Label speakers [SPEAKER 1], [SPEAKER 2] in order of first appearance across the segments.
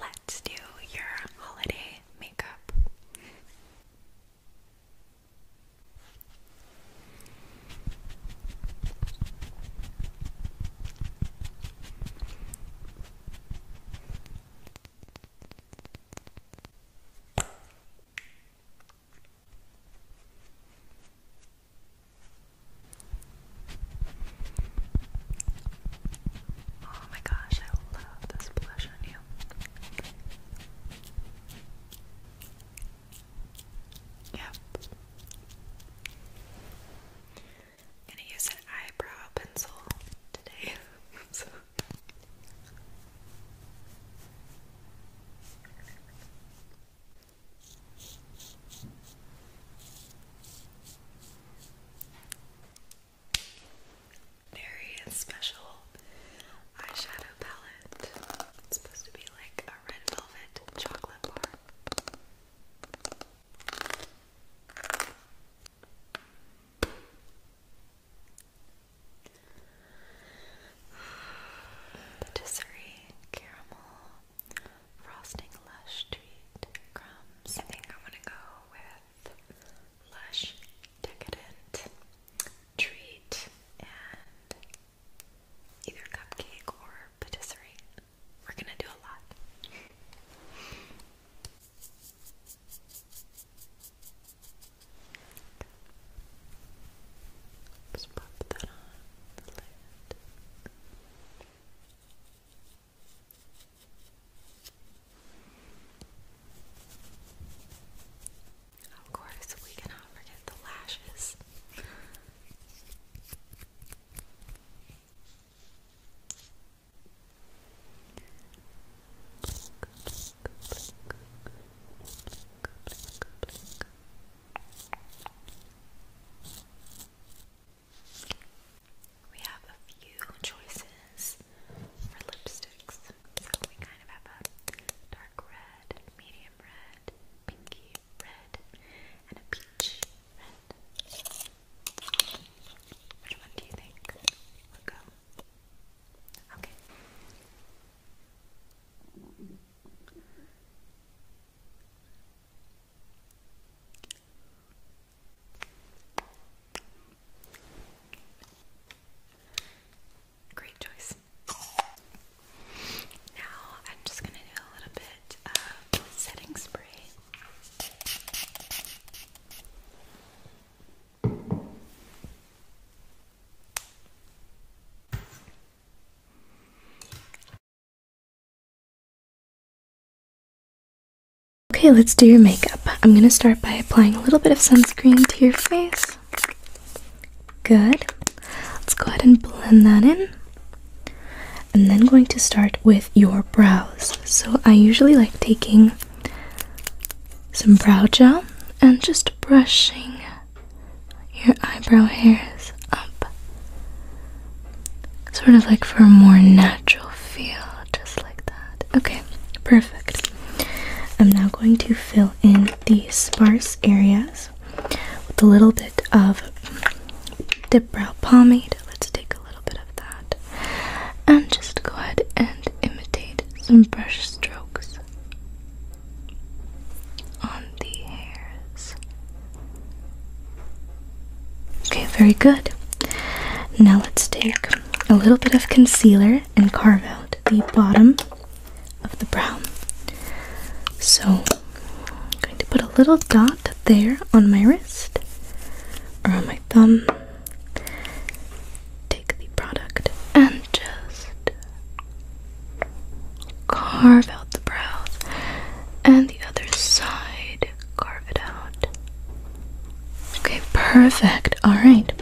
[SPEAKER 1] Let's do your holiday makeup.
[SPEAKER 2] Oh my gosh, I love this blush on you. Yep. I'm gonna use an eyebrow pencil today. Very special eyeshadow palette. supposed to be like a red velvet chocolate bar. Patisserie, caramel, frosting, lush treat, crumbs. I think I'm gonna go with lush,
[SPEAKER 1] decadent treat and either cupcake or patisserie.
[SPEAKER 2] We're gonna do a lot.
[SPEAKER 1] Let's pop that on Of course, we cannot forget the lashes. We have a few choices for lipsticks. So we kind of have a dark red, medium red, pinky red, and a peach Which one do you think will go? Okay. Great choice. Now I'm just going to do a little bit of setting spray. Okay, let's do your makeup. I'm gonna start by applying a little bit of sunscreen to your face.
[SPEAKER 3] Good. Let's go ahead and blend that in. I'm then going to start with your brows. So I usually like taking some brow gel and just brushing your eyebrow hairs up. Sort of like for a more natural feel, just like that. Okay, perfect. I'm now going to fill in the sparse areas with a little bit of dip brow pomade. Let's take a little bit of that. And just go ahead and imitate some brush strokes on the
[SPEAKER 4] hairs.
[SPEAKER 3] Okay, very good. Now let's take a little bit of concealer and carve out the bottom of the brow. So I'm going to put a little dot there on my wrist or on my thumb. Take the product and just Carve out the brow And the other side, carve it out. Okay, perfect. Alright,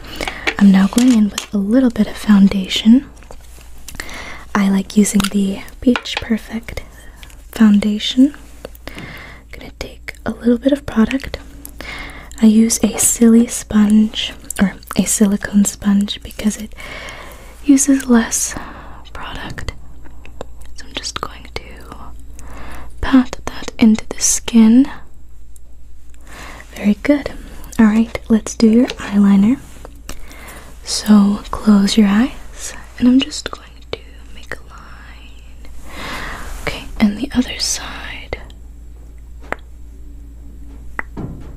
[SPEAKER 3] I'm now going in with a little bit of foundation. I like using the Beach Perfect foundation. I'm gonna take a little bit of product. I use a silly sponge, or a silicone sponge because it uses less product. So I'm just going to pat that into the skin. Very good. Alright, let's do your eyeliner. So close your eyes, and I'm just going to make a line. Okay, and the other side.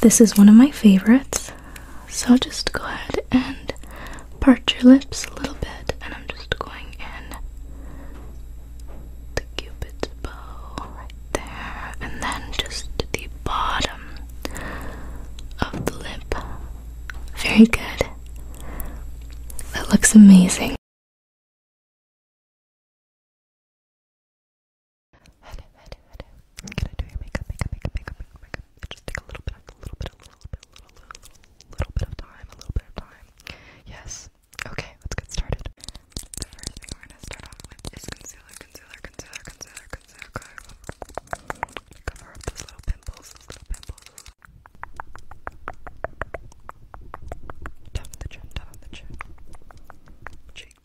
[SPEAKER 3] This is one of my favorites, so just go ahead and part your lips a little bit, and I'm just going in the cupid's bow right there, and then just the bottom
[SPEAKER 1] of the lip. Very good. That looks amazing. Hello, hello, hello. I'm gonna do your makeup, makeup, makeup, makeup, makeup, just take a little bit, a little bit, a little bit, a little, little, little bit of time, a little bit of time. Yes. Okay, let's get started. The first thing we're gonna start off with is concealer, concealer, concealer, concealer, concealer. Cover, up those little pimples, those little pimples. Top the chin, top the chin. Cheek,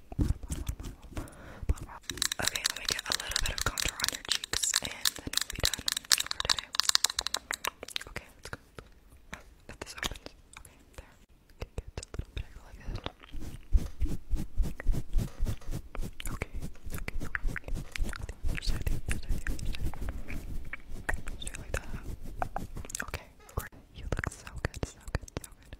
[SPEAKER 1] Okay, let me get a little bit of contour on your cheeks and then we'll be done Okay, let's go. Oh, this opens. Okay, there. Okay, get a little bit like this. Okay, okay, okay. Just like that. Okay, great. You look
[SPEAKER 2] so good, so good, so good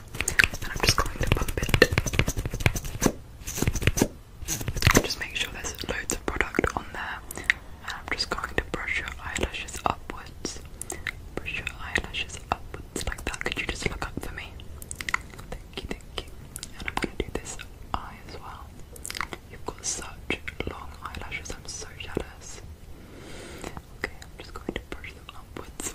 [SPEAKER 1] I'm just going to bump it.
[SPEAKER 2] Just make sure there's loads of product on there, I'm just going to brush your eyelashes upwards. Brush your eyelashes upwards like that. Could you just look up for me? Thank you, thank you. And I'm going to do this eye as well. You've got such long eyelashes, I'm so jealous. Okay, I'm just going to brush them upwards.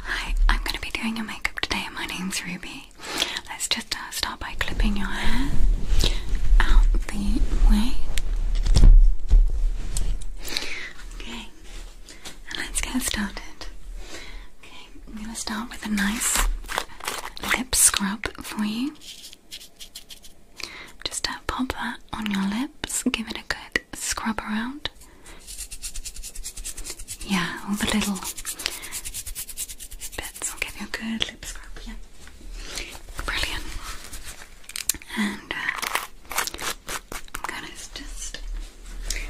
[SPEAKER 4] Hi, I'm going to be doing your makeup today. My name's Ruby. Let's do just uh, start by clipping your hair out the way. Okay, and let's get started. Okay, I'm going to start with a nice lip scrub for you. Just uh, pop that on your lips, give it a good scrub around. Yeah, all the little let give you a good lip scrub. Yeah. Brilliant. And uh, I'm gonna just put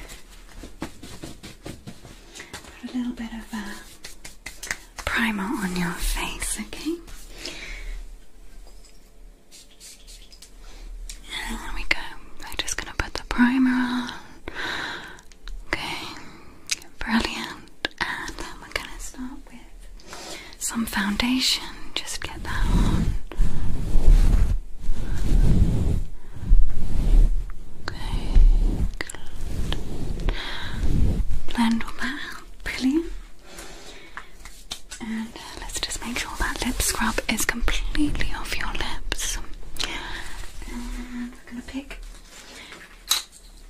[SPEAKER 4] a little bit of a uh, primer on your face, okay? there we go. I'm just gonna put the primer on. Okay, brilliant. And we're gonna start with some foundation. Just get that on. Okay, Blend all that Brilliant. And uh, let's just make sure that lip scrub is completely off your lips. And we're going to pick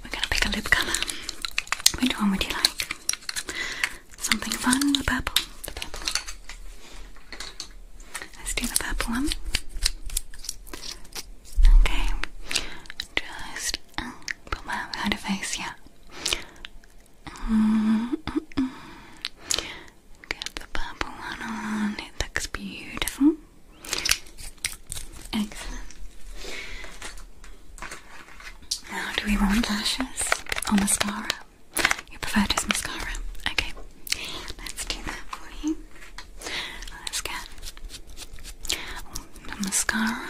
[SPEAKER 4] we're gonna pick a lip colour. Which one would you like? Something fun, the purple. The purple. Let's do the purple one. Okay. Just uh, put my behind her face, yeah. Mm-hmm. Get the purple one on. It looks beautiful. Excellent. Now, do we want lashes or mascara? You prefer just mascara? Okay, let's do that for Let's get the mascara.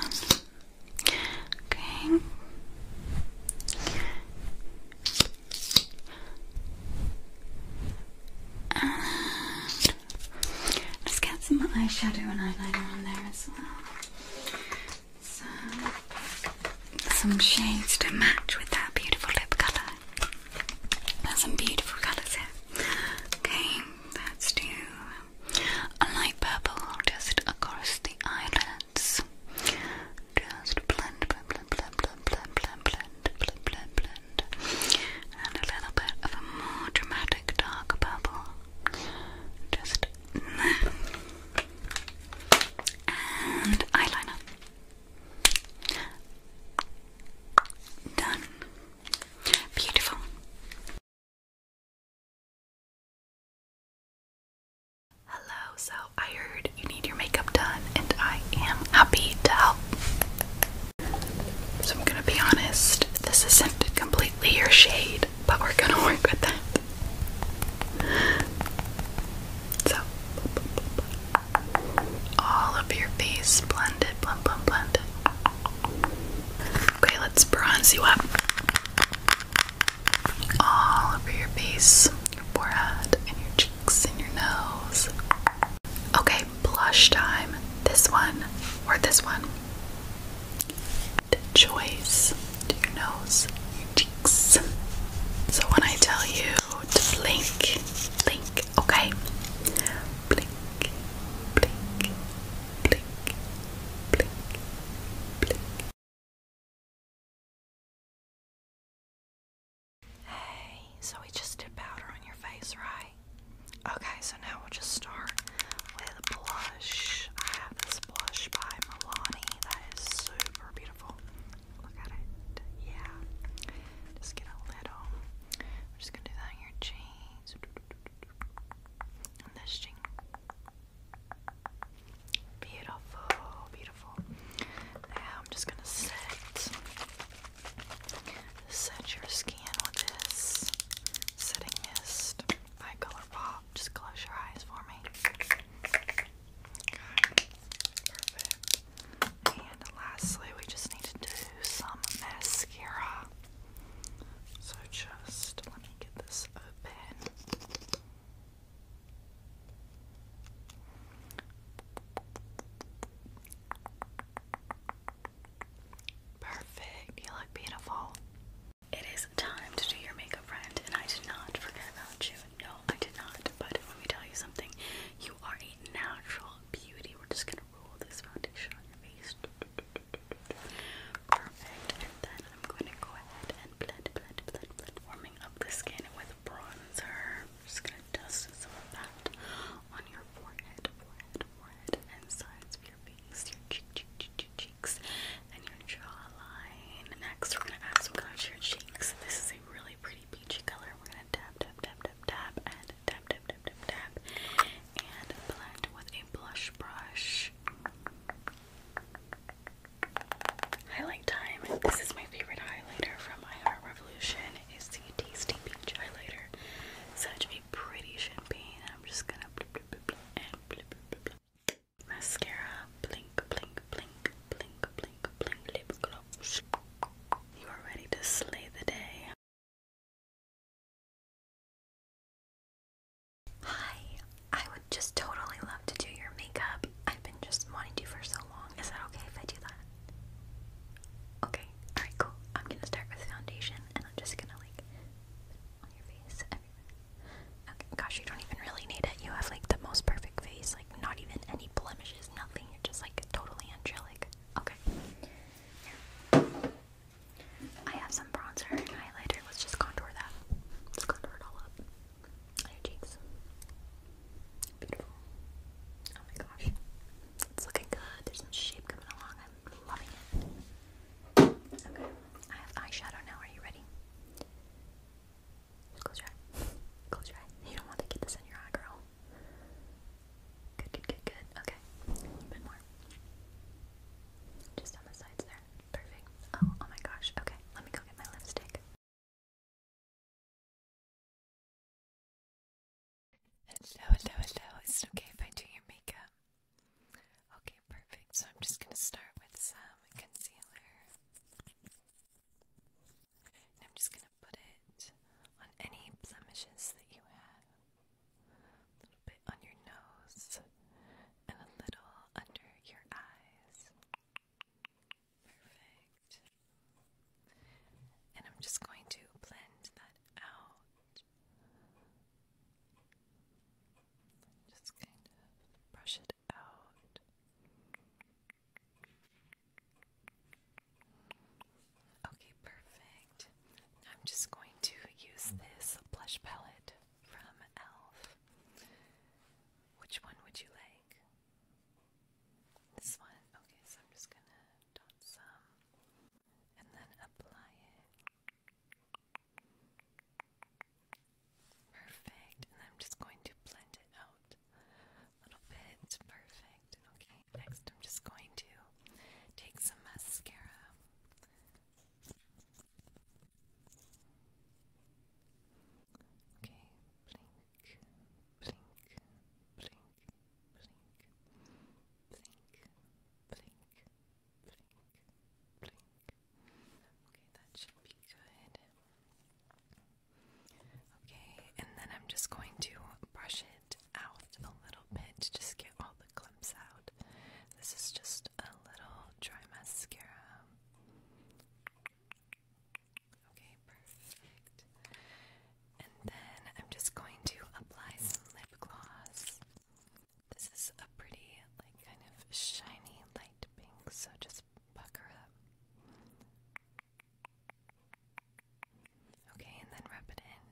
[SPEAKER 4] Okay. Let's get some eyeshadow and eyeliner on there as well. some shades to match with that beautiful lip colour. There's some beautiful colours here. Okay, let's do a light purple just across the eyelids. Just blend, blend, blend, blend, blend, blend, blend, blend, blend, blend, blend. And a little bit of a more dramatic dark purple. Just And eyeliner.
[SPEAKER 2] Done. Beautiful. Hello, so I heard you need your makeup done, and I am happy to help. So, I'm gonna be honest, this isn't completely your shade but we're gonna work with that. So, all of your face blended, blend, blend, blend. Okay, let's bronze you up. All over your face, your forehead, and your cheeks, and your nose. Okay, blush time. This one or this one the choice to your nose, your cheeks. So when I tell you to blink, blink, okay? Blink, blink, blink, blink,
[SPEAKER 1] blink. Hey, so we just did powder on your face, right? Okay,
[SPEAKER 2] so now we'll just start with blush. I have this blush by Milani that is super beautiful. Look at it. Yeah. Just get a little. We're just gonna do that on your cheeks. On this cheek. Beautiful, beautiful. Now I'm just gonna set set your
[SPEAKER 1] skin with this setting mist by ColourPop. Just close your eyes for me. And lastly, we just need to do some mascara.
[SPEAKER 2] So just let me get this open. Perfect. You look beautiful. It is time to do your makeup, friend, and I did not forget about you. No, I did not. But let me tell you something. You are a natural beauty. We're just gonna roll this foundation on your face. Perfect. And then I'm gonna go ahead and blend, blend, blend, blend, up the skin with bronzer. just gonna dust some of that on your forehead, forehead, forehead, and sides of your face, your cheek, cheek, cheek, cheek cheeks and your jawline. Next, we're gonna add some color to your cheeks. This is a really pretty peachy color. We're gonna tap, tap, tap, tap, tap, and tap, tap, tap, tap, tap, and blend with a blush brush. Highlight time. This is my favorite highlighter from My Heart Revolution. Is the Tasty Peach Highlighter. Such a pretty champagne. I'm just gonna blip, blip, blip, blip, and blip, blip, blip, blip mascara, blink, blink, blink,
[SPEAKER 1] blink, blink, blink, lip gloss. You are ready to slay the day. Hi, I would just totally love to do your makeup. I've been just wanting to for so long. Is that okay
[SPEAKER 2] if I do that? Okay, alright, cool. I'm gonna start with foundation and I'm just gonna like on your gosh, you don't even really need it. You have like the most perfect face, like not even any blemishes, nothing. You're just like totally angelic. Okay. I have some bronzer and highlighter. Let's just contour that. Let's contour it all up. your cheeks. Beautiful. Oh my gosh. It's looking good. There's some shape coming along. I'm loving it. Okay, I have eyeshadow now. Are you ready? Close your eye. Close your eye. You don't want to get this in your eye, girl. Good, good, good, good. Okay, a little bit more. Just on the sides there.
[SPEAKER 1] Perfect. Oh, oh, my gosh. Okay, let me go get my lipstick. Hello, hello, hello. Is it okay if I do your makeup? Okay, perfect. So I'm just going to start
[SPEAKER 2] with some concealer. And I'm just going to put it on any blemishes that you have. A little bit on your nose and a little under your eyes. Perfect. And I'm just going to blend that out. Just kind of brush it out. Okay, perfect. I'm just going to use this blush palette from e.l.f. Which one would you like? This one? Okay, so I'm just gonna dot some and then apply it Perfect, and I'm just going to blend it out a little bit. Perfect, okay. Next, I'm just going to take some mascara.
[SPEAKER 1] Okay, blink, blink, blink, blink,
[SPEAKER 2] blink, blink, Blink, blink. Okay, that should be good. Okay, and then I'm just going to brush it out a little bit to just get all the clumps out. This is just a little dry mascara. Okay, perfect. And then I'm just going to apply some lip gloss. This is a pretty, like, kind of shiny light pink, so just pucker up.
[SPEAKER 1] Okay, and then rub it in.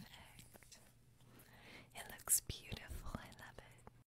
[SPEAKER 1] Perfect. It looks beautiful. I love it.